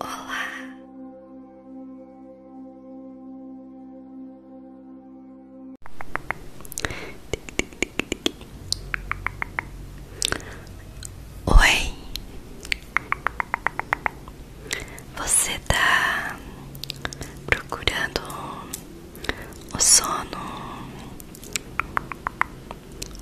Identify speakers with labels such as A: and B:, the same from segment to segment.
A: Olá. Oi. Você tá procurando o sono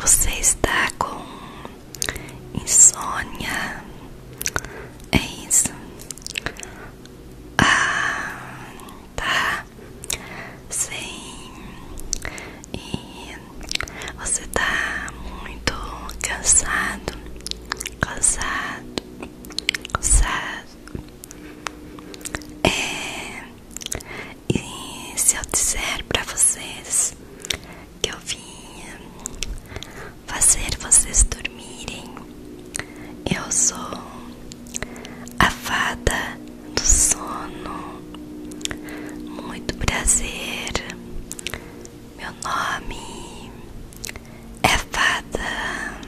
A: você está com insônia? É isso? Ah, tá. Sim. E você está muito cansado, cansado, cansado. É, e se eu disser para vocês que eu vinha fazer vocês dormirem. Eu sou a fada do sono. Muito prazer. Meu nome é Fada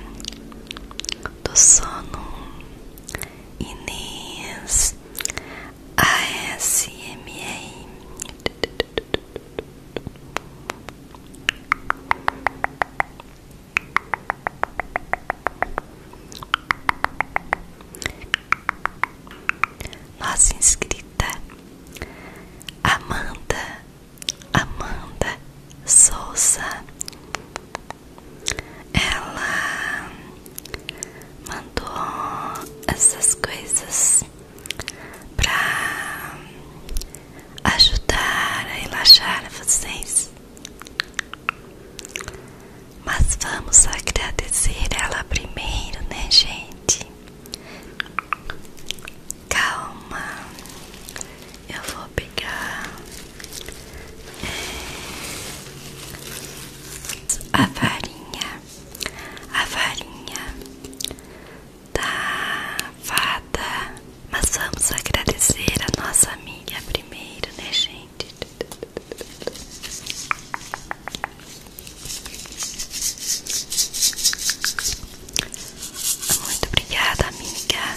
A: do Sono Inês. ASMR Nossa inscrita Amanda Amanda Souza ela mandou essas coisas pra ajudar a relaxar vocês. Mas vamos agradecer ela primeiro, né, gente? Calma, eu vou pegar é, a farinha a varinha da fada. Mas vamos agradecer a nossa amiga primeiro, né, gente? Muito obrigada, amiga,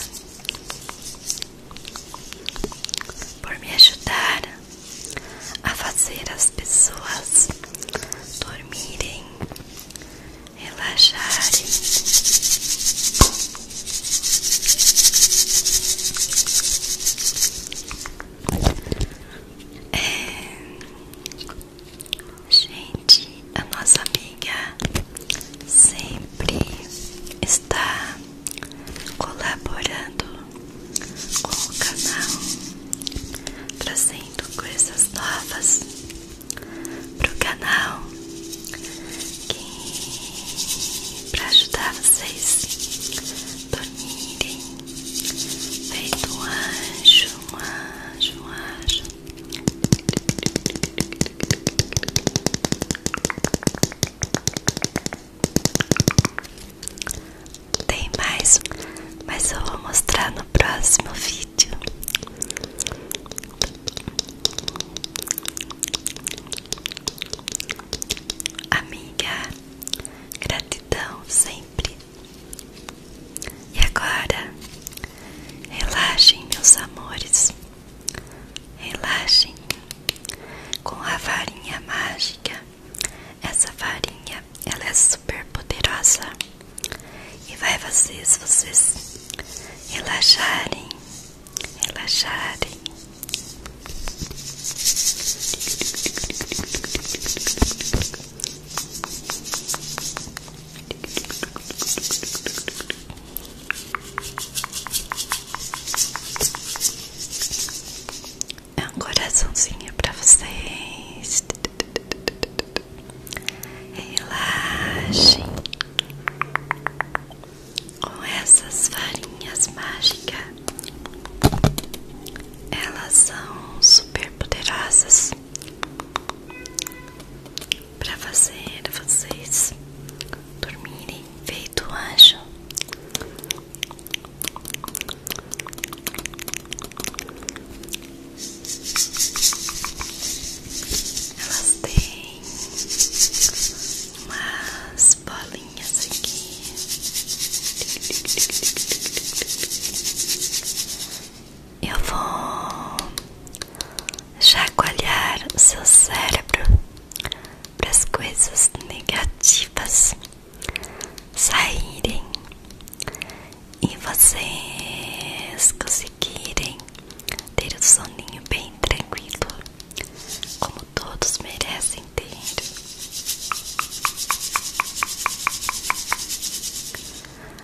A: por me ajudar a fazer as pessoas dormirem, relaxarem. É, gente, a nossa amiga sempre está colaborando com o canal, trazendo coisas novas para o canal e para ajudar vocês dormirem feito um anjo, ajo ajo tem mais, mas eu vou mostrar no próximo vídeo. Amiga, gratidão sempre. E agora, relaxem, meus amores, relaxem com a varinha mágica essa farinha ela é super poderosa e vai fazer vocês relaxarem, relaxarem. É um coraçãozinho para vocês. Relaxem com essas farinhas mágicas. Elas são super poderosas para fazer vocês dormirem feito anjo. Elas têm umas bolinhas aqui. Eu vou chacoalhar o seu cérebro para as coisas negativas saírem e vocês conseguirem ter o um soninho bem tranquilo, como todos merecem ter.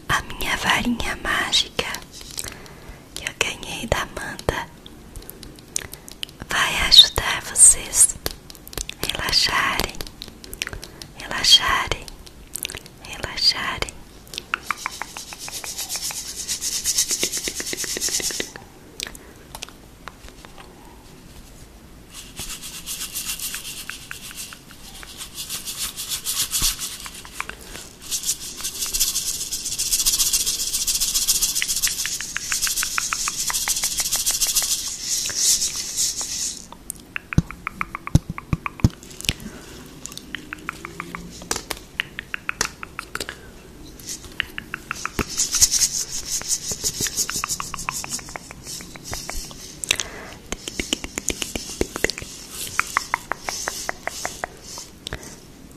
A: A minha varinha mágica que eu ganhei da Amanda vai ajudar vocês relaxarem, relaxarem, relaxarem.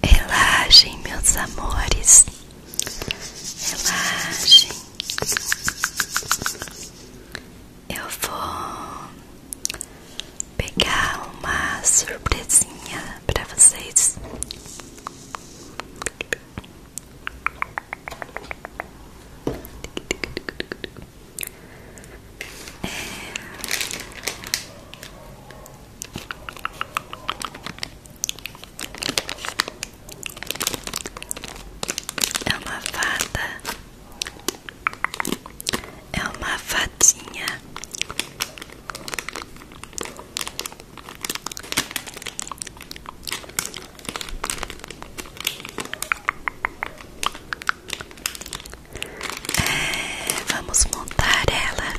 A: Relaxem, meus amores, relaxem eu vou pegar uma surpresinha para vocês. É. É uma fada. É uma fadinha. É, vamos montar ela.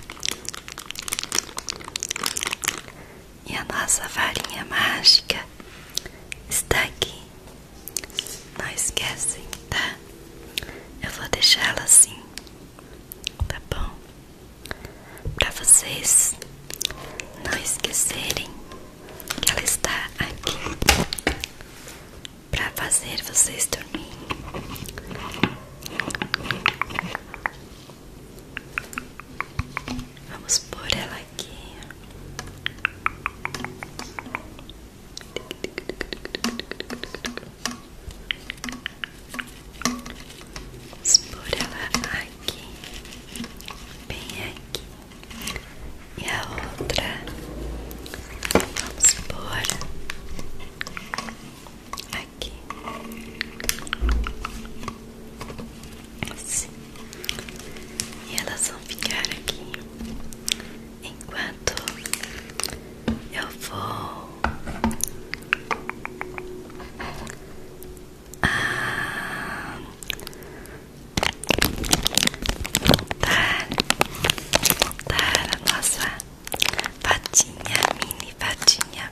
A: E a nossa varinha mágica está aqui. Não esquecem, tá? Eu vou deixá-la assim, tá bom? Para vocês não esquecerem que ela está aqui para fazer vocês dormirem. Vamos por ela aqui. Vamos ela aqui, bem aqui. E a outra, vamos por aqui. E elas vão ficar aqui enquanto eu vou ah, montar, montar a nossa patinha, mini patinha.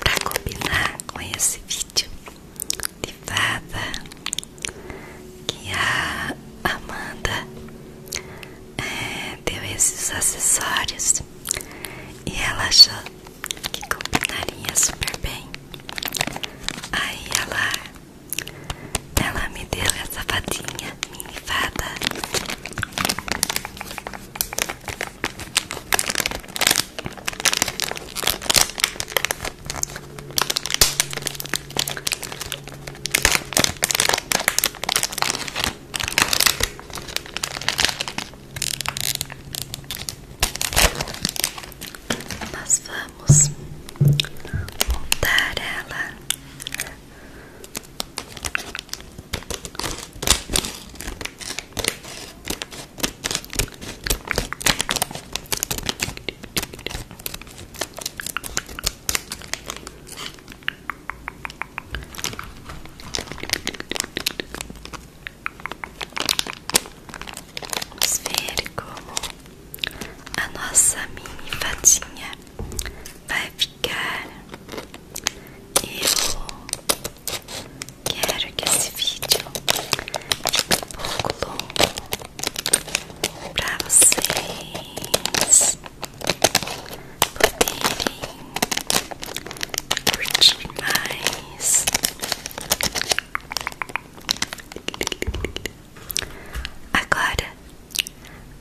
A: pra combinar com esse vídeo de fada que a Amanda é, deu esses acessórios e ela achou que combinaria super bem. Aí ela ela me deu essa fadinha mini fada nós vamos montar ela Vamos ver como a nossa mini fatinha vai mastigar. Eu quero que esse vídeo fique um pouco longo para vocês poderem curtir mais. Agora,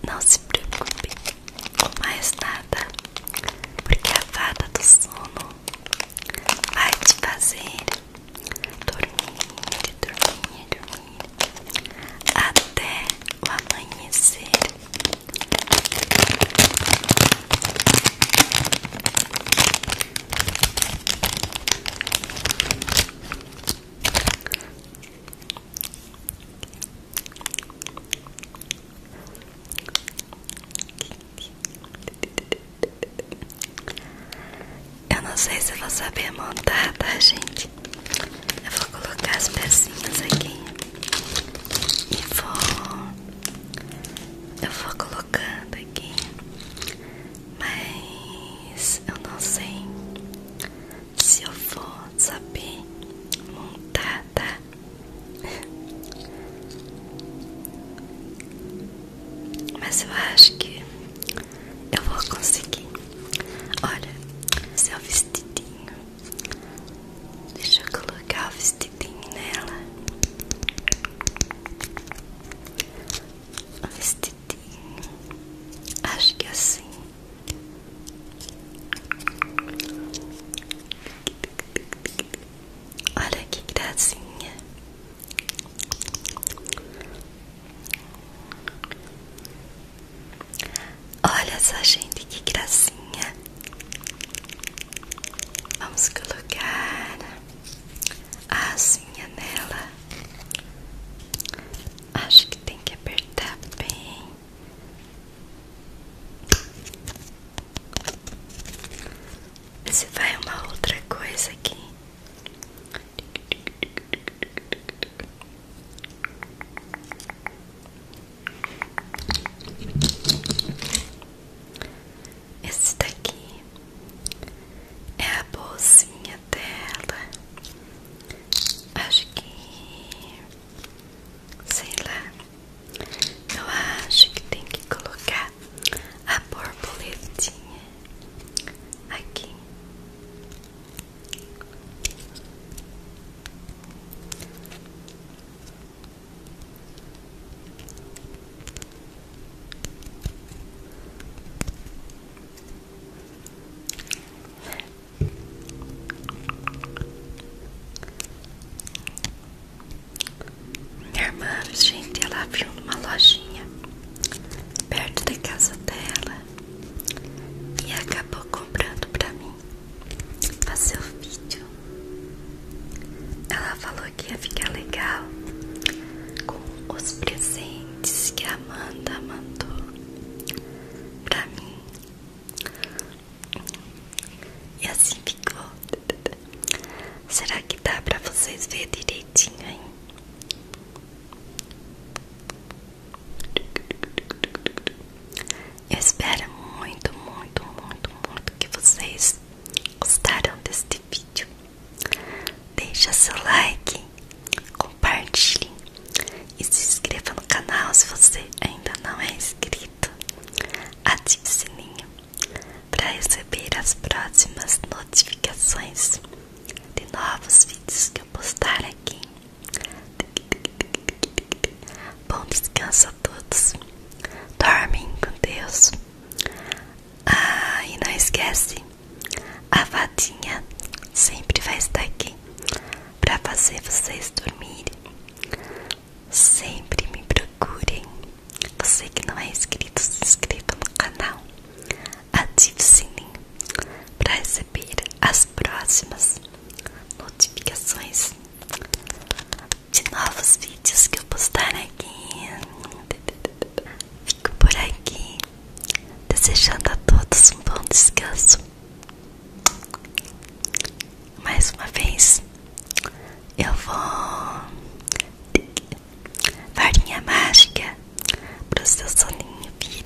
A: não se preocupe com mais nada porque a fada do sono vai te fazer dormir, dormir, dormir até o amanhecer. Eu não sei se eu vou saber montar, tá, gente? Eu vou colocar as pecinhas aqui e vou. Eu vou colocando aqui, mas eu não sei se eu vou saber montar, tá? Mas eu acho que eu vou conseguir. Olha, seu é vestidinho. Deixa eu colocar o vestidinho nela. O vestidinho. Acho que é assim. Olha que gracinha. Olha só, gente, que gracinha. Vamos colocar a asinha nela. Acho que tem que apertar bem. Se vai uma outra coisa aqui. Esse daqui é a bolsinha dela. Acho que sei lá. Eu acho que tem que colocar a borboletinha aqui. Minha irmã, gente, ela viu numa lojinha perto da casa dela e acabou comprando pra mim fazer o vídeo. Ela falou que ia ficar legal com os presentes que a Amanda mandou pra mim. E assim ficou. Será que dá pra vocês ver direitinho, hein? Eu espero muito, muito, muito, muito que vocês gostaram deste vídeo. Deixe seu like, compartilhe e se inscreva no canal se você ainda não é inscrito. Ative o sininho para receber as próximas notificações de novos vídeos que eu postar aqui. Bom descanso a todos. Dormem com Deus. Ah, e não esquece, a vadinha sempre vai estar aqui para fazer vocês dormirem. Sempre me procurem. Você que não é inscrito, se inscreva no canal. Ative o sininho para receber as próximas notificações de novos vídeos que eu postar aqui. Fico por aqui, desejando a todos um bom descanso mais uma vez eu vou farinha mágica para o seu soninho vir.